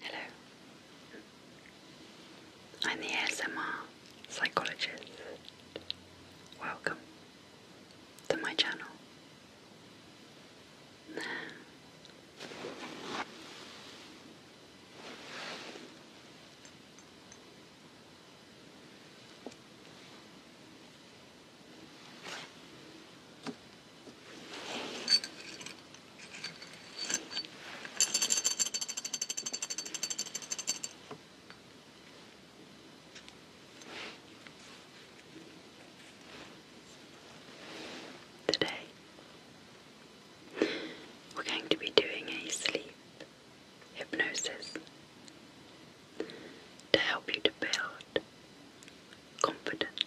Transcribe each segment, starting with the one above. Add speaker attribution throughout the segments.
Speaker 1: Hello. I'm the ASMR psychologist. Welcome to my channel. Today, we're going to be doing a sleep hypnosis to help you to build confidence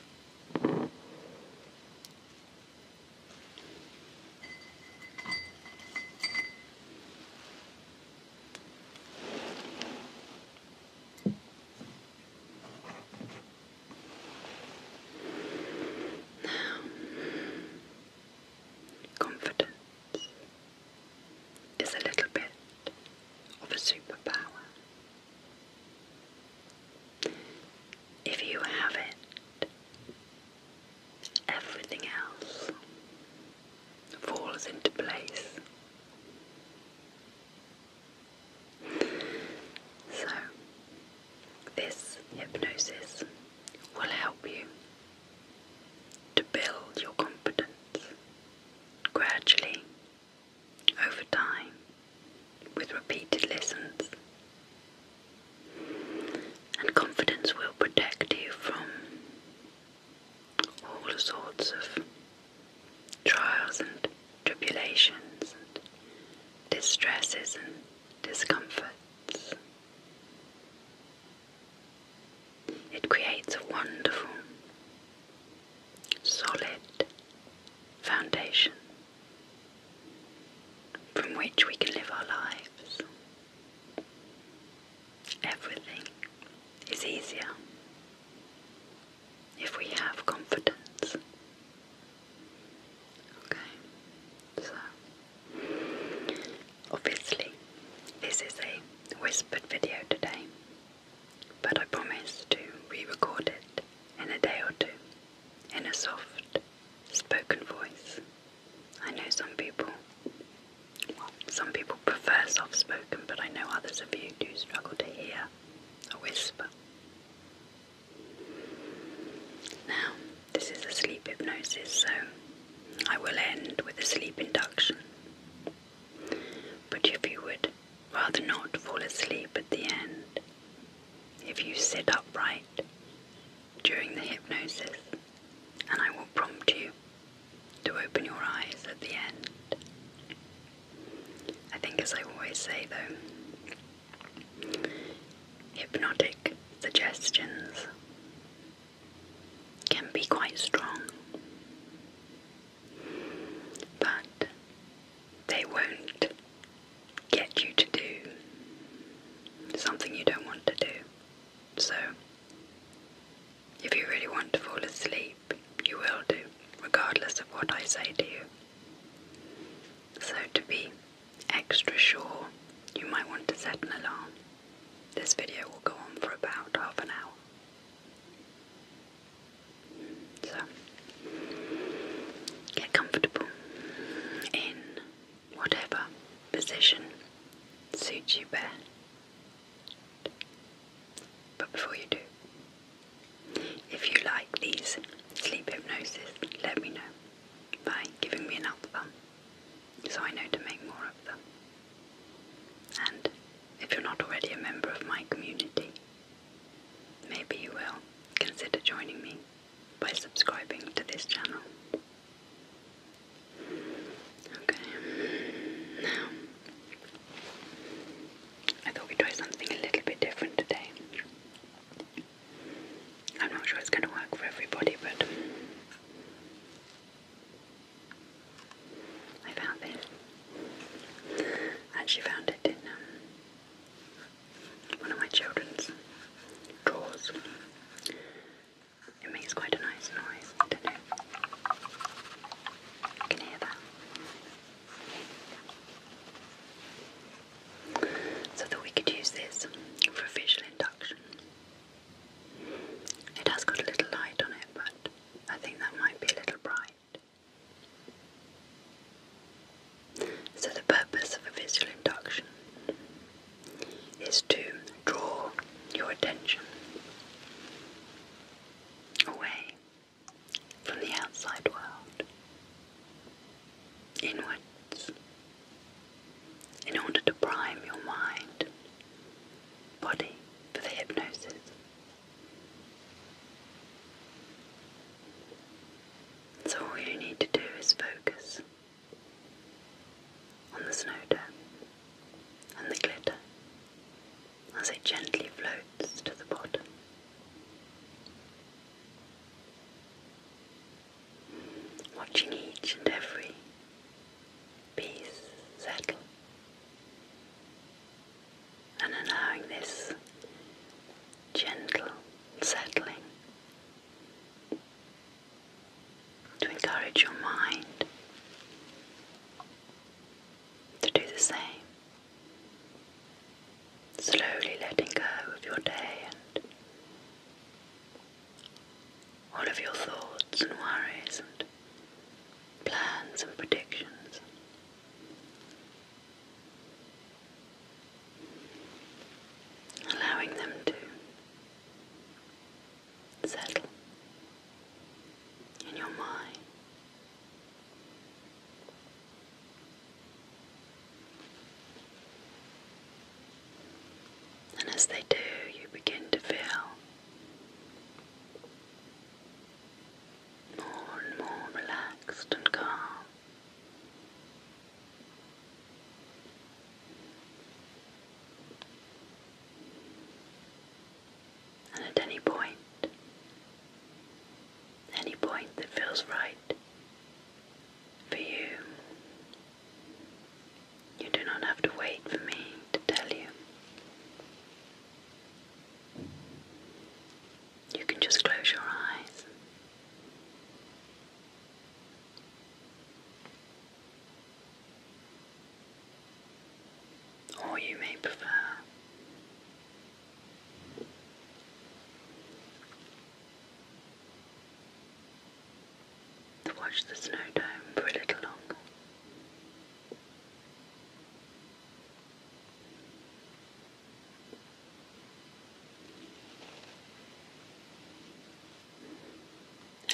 Speaker 1: Now, confidence is a little bit of a superpower. If you have it, everything else falls into place. So, this hypnosis will help you to build your confidence gradually over time with repeated listens. And confidence will protect you from all sorts of trials and tribulations and distresses and discomforts. It creates a wonderful solid foundation from which we can live our lives. Everything is easier if we have confidence. Okay, so obviously, this is a whispered video today but I promise to re record it in a day or two in a soft spoken voice. I know some people, some people prefer soft spoken, but I know others of you do struggle to hear a whisper. Now, this is a sleep hypnosis, so I will end with a sleep induction. But if you would rather not fall asleep at the end if you sit upright during the hypnosis, and I will prompt you to open your eyes at the end. I think, as I always say though, hypnotic suggestions can be quite strong. But they won't get you to do something you don't want to do. So, if you really want to fall asleep, you will do, regardless of what I say to you. So, to be extra sure, you might want to set an alarm. This video will go on for about half an hour. So, get comfortable in whatever position suits you best. But before you do, if you like these sleep hypnosis, let me know by giving me another one so I know to make more of them. And if you're not already a member of my community, Maybe you will consider joining me by subscribing to this channel. Okay, now I thought we'd try something a little bit different today. I'm not sure it's going to work for everybody, but I found this. I actually found it in um, one of my children's drawers. It makes quite a nice noise. can hear that. So that we could use this for visual induction. It has got a little light on it, but I think that might be a little bright. So, the purpose of a visual induction is to draw your attention away from the outside world inwards in order to prime your mind, body for the hypnosis. So all you need to do is focus on the snow dome and the glitter as it gently floats to the bottom. Watching each and every piece settle and allowing this gentle settling to encourage your mind to do the same, slowly letting go of your day and all of your thoughts and worries and plans and predictions allowing them to settle in your mind. And as they do, you begin to feel more and more relaxed and calm. And at any point, any point that feels right for you, you do not have to wait for me to tell you. You can just close your eyes. Or you may prefer to watch the snow dome for a little longer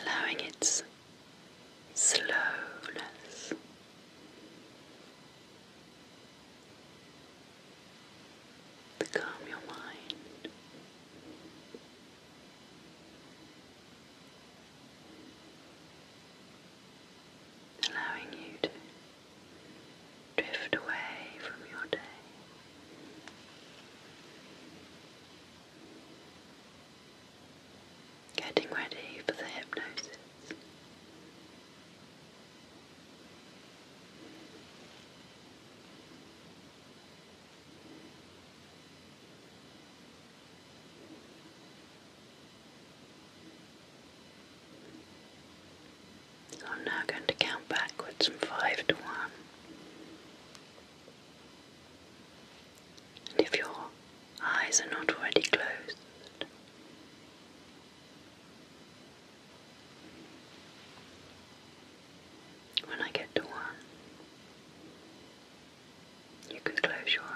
Speaker 1: allowing its slowness. To calm your mind, allowing you to drift away from your day. Getting ready for the hypnosis. I'm now going to count backwards from five to one. And if your eyes are not already closed, when I get to one, you can close your eyes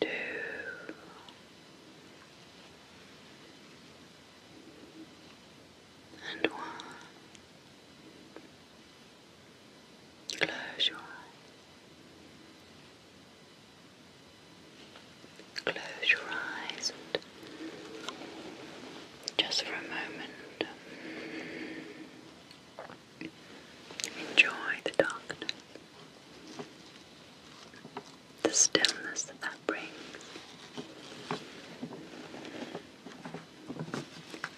Speaker 1: two, and one. Close your eyes. Close your eyes just for a moment. Enjoy the darkness, the stillness that that brings.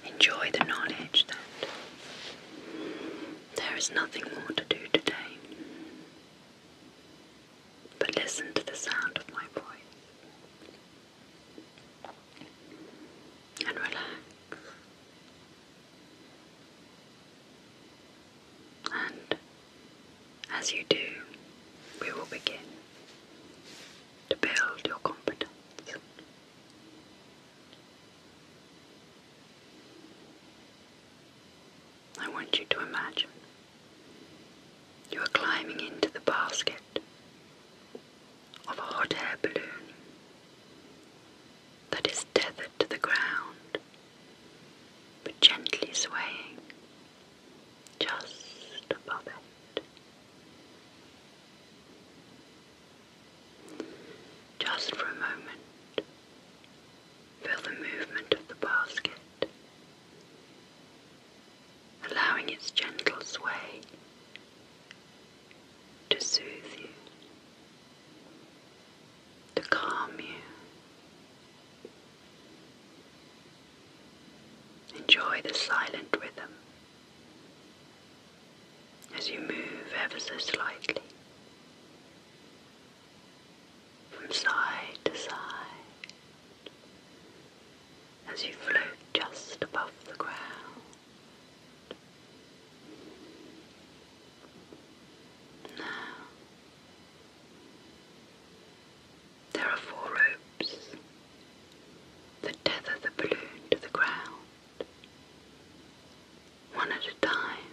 Speaker 1: Enjoy the knowledge that there is nothing more to do today. But listen to the sound of my voice and relax. And as you do, we will begin to build your confidence. I want you to imagine you are climbing into the basket of a hot air balloon that is tethered to the ground, but gently swaying just above it. Just for a moment, feel the movement of the basket, allowing its gentle sway to soothe you to calm you. Enjoy the silent rhythm as you move ever so slightly from side to side as you float just above the ground. Now, there are four ropes that tether the balloon to the ground, one at a time.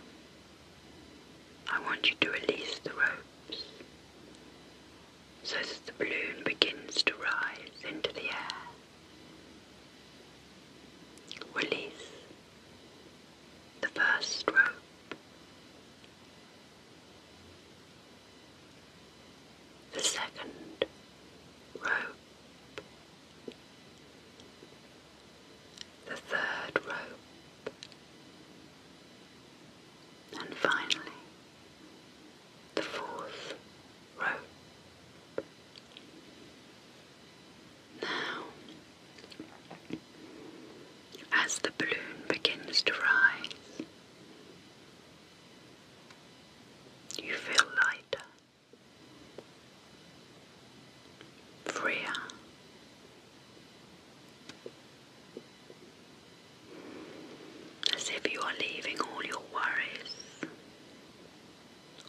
Speaker 1: I want you to release the ropes so that the balloon begins to rise into the air. Release the first rope, the second rope, the third rope, and finally the fourth rope. Now, as the balloon begins to rise, you feel lighter, freer. As if you are leaving all your worries,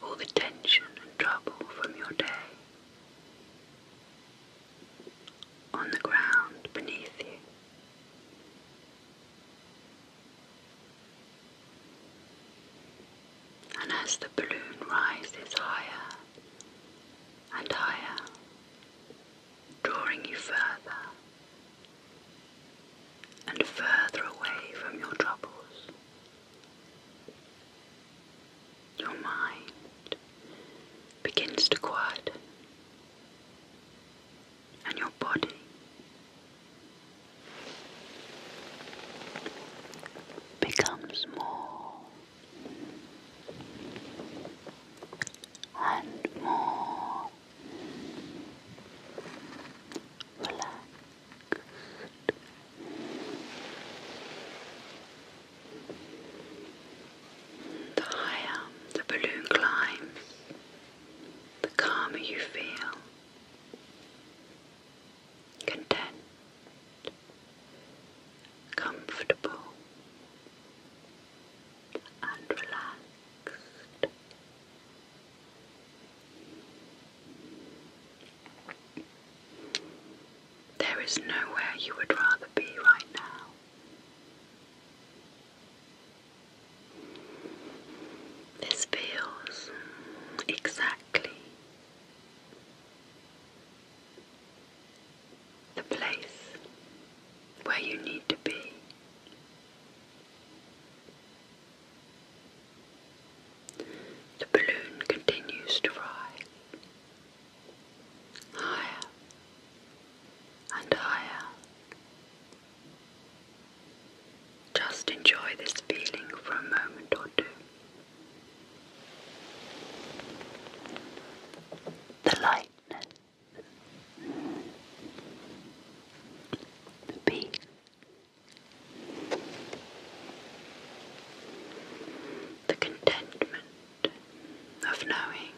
Speaker 1: all the tension and trouble from your day on the ground beneath you. And as the balloon rises higher and higher, drawing you further and further away from your troubles, your mind begins to quiet, and your body becomes more and more relaxed. The higher the balloon climbs, the calmer you feel. Content, comfortable, and relaxed. There is nowhere you would rather be right now. This feels exactly the place where you need to be. The balloon continues to rise higher and higher. Just enjoy this feeling for a moment or two. The lightness, the peace, the contentment of knowing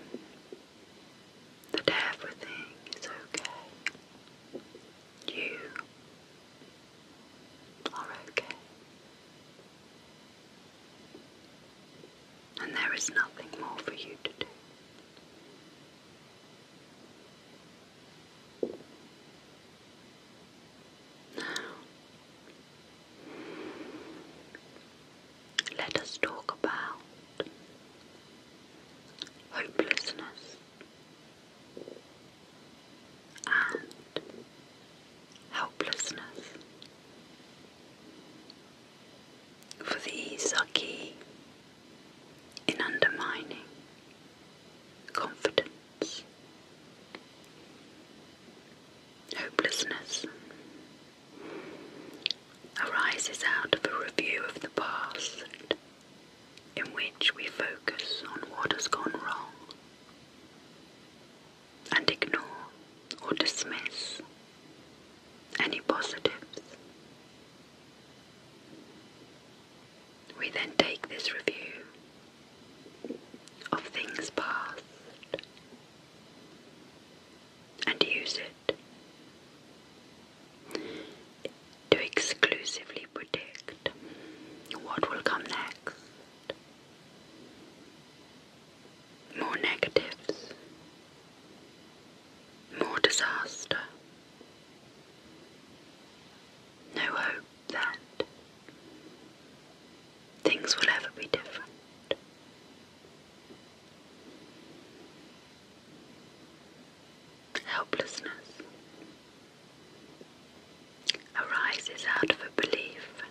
Speaker 1: that everything is okay. You are okay. And there is nothing more for you to do. Now, let us talk about hopelessness and helplessness. For these are key in undermining confidence hopelessness arises out of a review of the past in which we focus on what has gone wrong and ignore or dismiss any positives. We then take this review of things past and use it to exclusively predict what will come next. More negatives, more disaster. No hope then things will ever be different. Helplessness arises out of a belief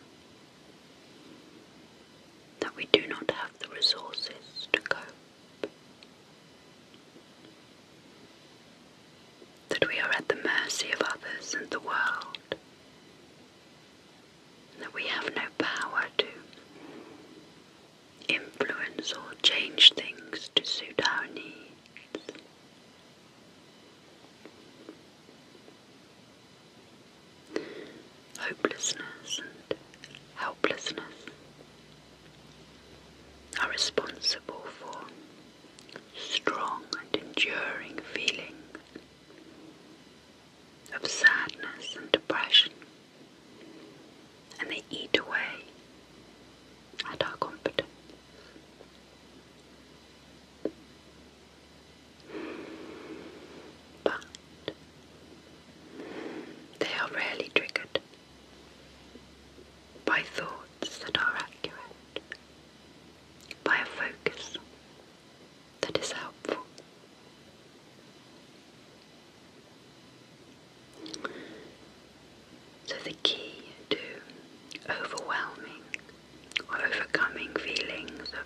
Speaker 1: that we do not have the resources to cope, that we are at the mercy of others and the world that we have no power to influence or change things to suit our needs. Hopelessness and helplessness are responsible for strong and enduring feelings of sadness and depression, and they eat away at our confidence. But they are rarely triggered by thoughts that are accurate, by a focus that is helpful. So, the key to overwhelming or overcoming feelings of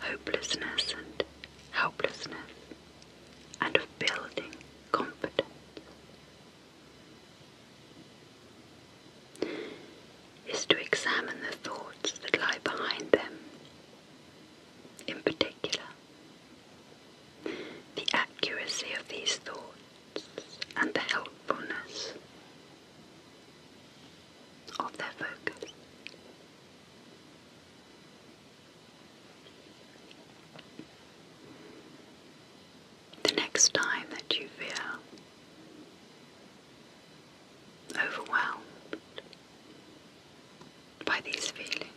Speaker 1: hopelessness and helplessness and of building confidence is to examine the thoughts that lie behind them. In particular, the accuracy of these thoughts and the helpfulness of their focus. The next time that you feel overwhelmed by these feelings,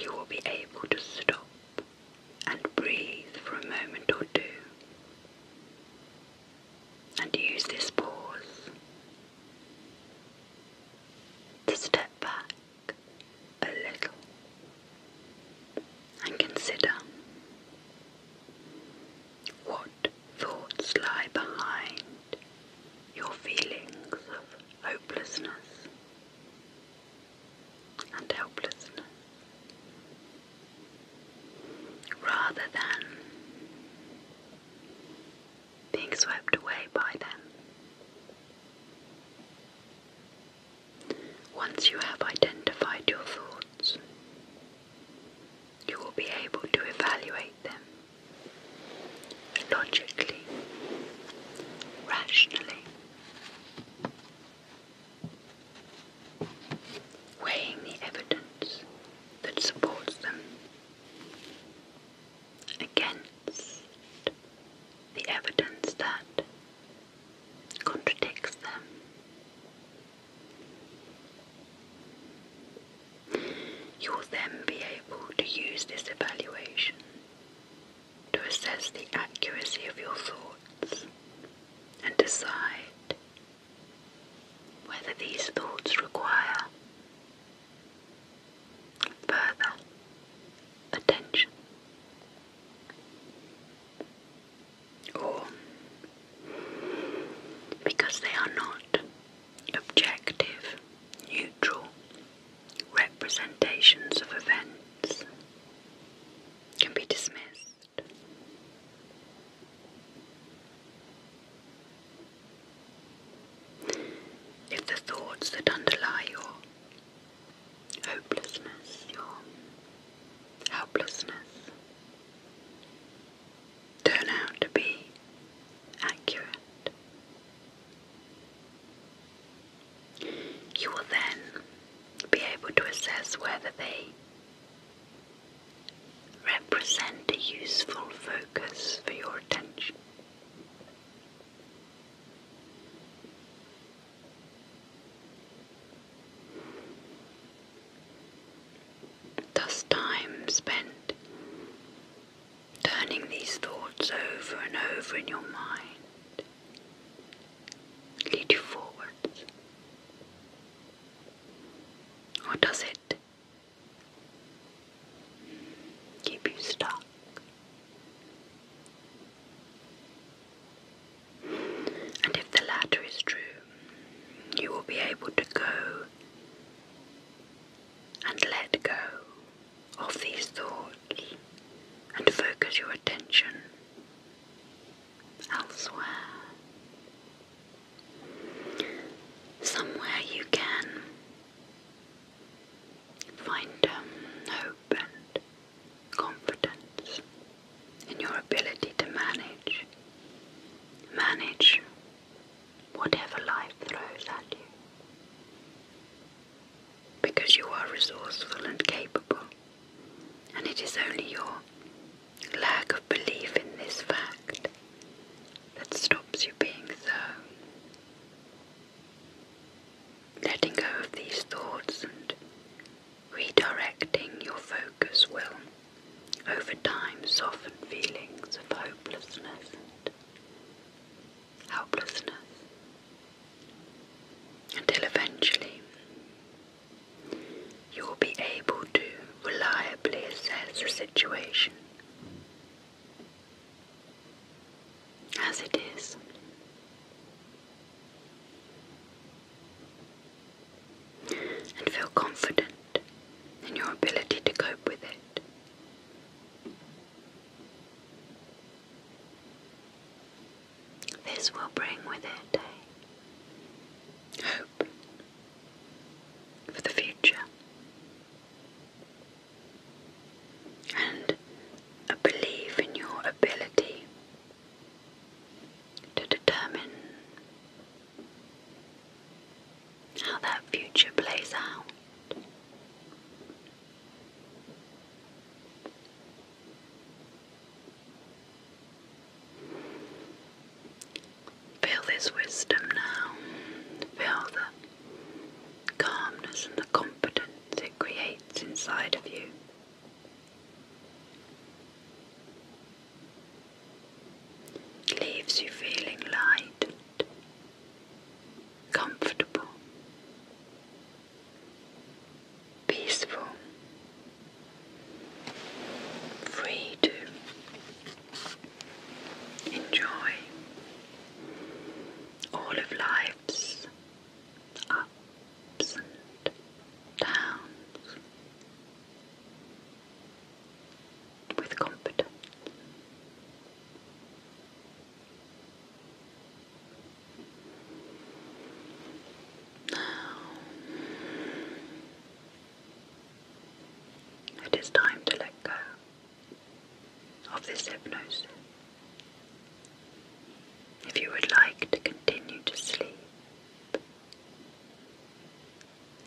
Speaker 1: you will be able to stop and breathe for a moment or two and use this pause to step back a little and consider what thoughts lie behind your feelings of hopelessness and helplessness? Rather than being swept away by them. Once you have identified your thoughts, you will be able to evaluate them logically, rationally, weighing the evidence that supports them against the evidence that contradicts them. You will then be able to use this evaluation to assess the accuracy of your thoughts and decide whether these thoughts require further attention or because they are not objective, neutral representations of events, can be dismissed. If the thoughts that underlie your hopelessness, your helplessness, turn out to be accurate. You will then be able to assess whether they represent a useful focus for your attention. Thus, time spent turning these thoughts over and over in your mind lead you forwards, or does it keep you stuck? And if the latter is true, you will be able to go and let go of these thoughts and focus your attention elsewhere. Somewhere you can find um, hope and confidence in your ability to manage. Manage whatever life throws at you. Because you are resourceful and capable, and it is only your lack of belief in this fact that stops you being so. Letting go of these thoughts and redirecting your focus will over time soften feelings of hopelessness and helplessness until eventually you will be able to reliably assess the situation as it is and feel confident in your ability to cope with it. This will bring with it hope for the future and a belief in your ability to determine how that future plays out. Feel this wisdom now, feel the calmness and the confidence it creates inside of you leaves you feeling light comfortable, peaceful, free to enjoy all of life's ups and downs with competence. Now, it is time to let go of this hypnosis. If you would like to continue to sleep,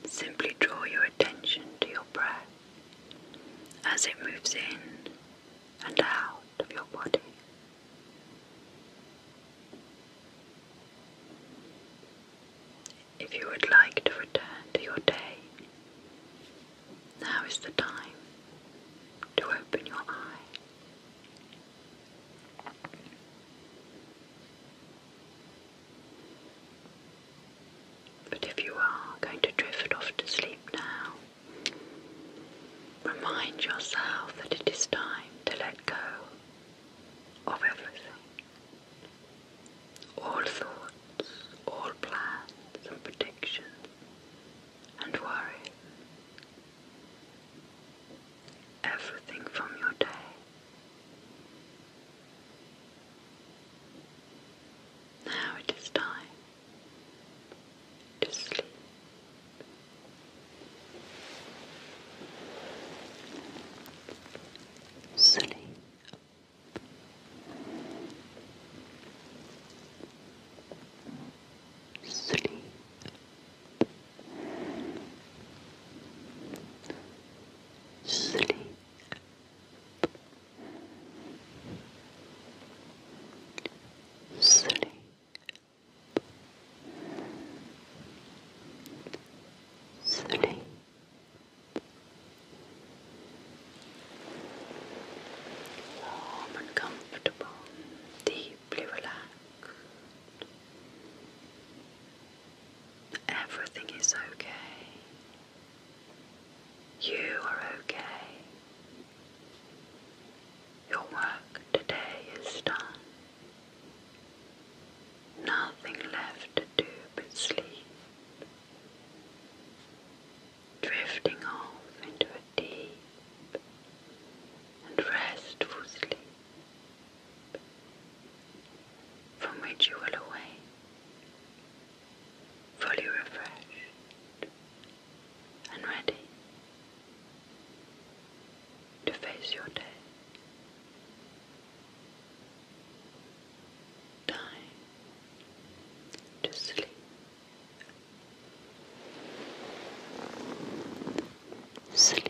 Speaker 1: Simply draw your attention to your breath as it moves in and out of your body. If you would like to return to your day, now is the time to open your eye. But if you are going to drift off to sleep now, remind yourself that it is time to let go of everything. All thoughts, all plans and predictions and worries. Everything from your day now it is time to sleep. Sleep. Sleep. Sleep. Sleep. Sleep. Warm comfortable, deeply relaxed. Everything is okay. You are okay. Your work today is done. Nothing left to do but sleep. Drifting off into a deep and restful sleep from which you will awake fully refreshed and ready to face your day. Time to sleep. Sleep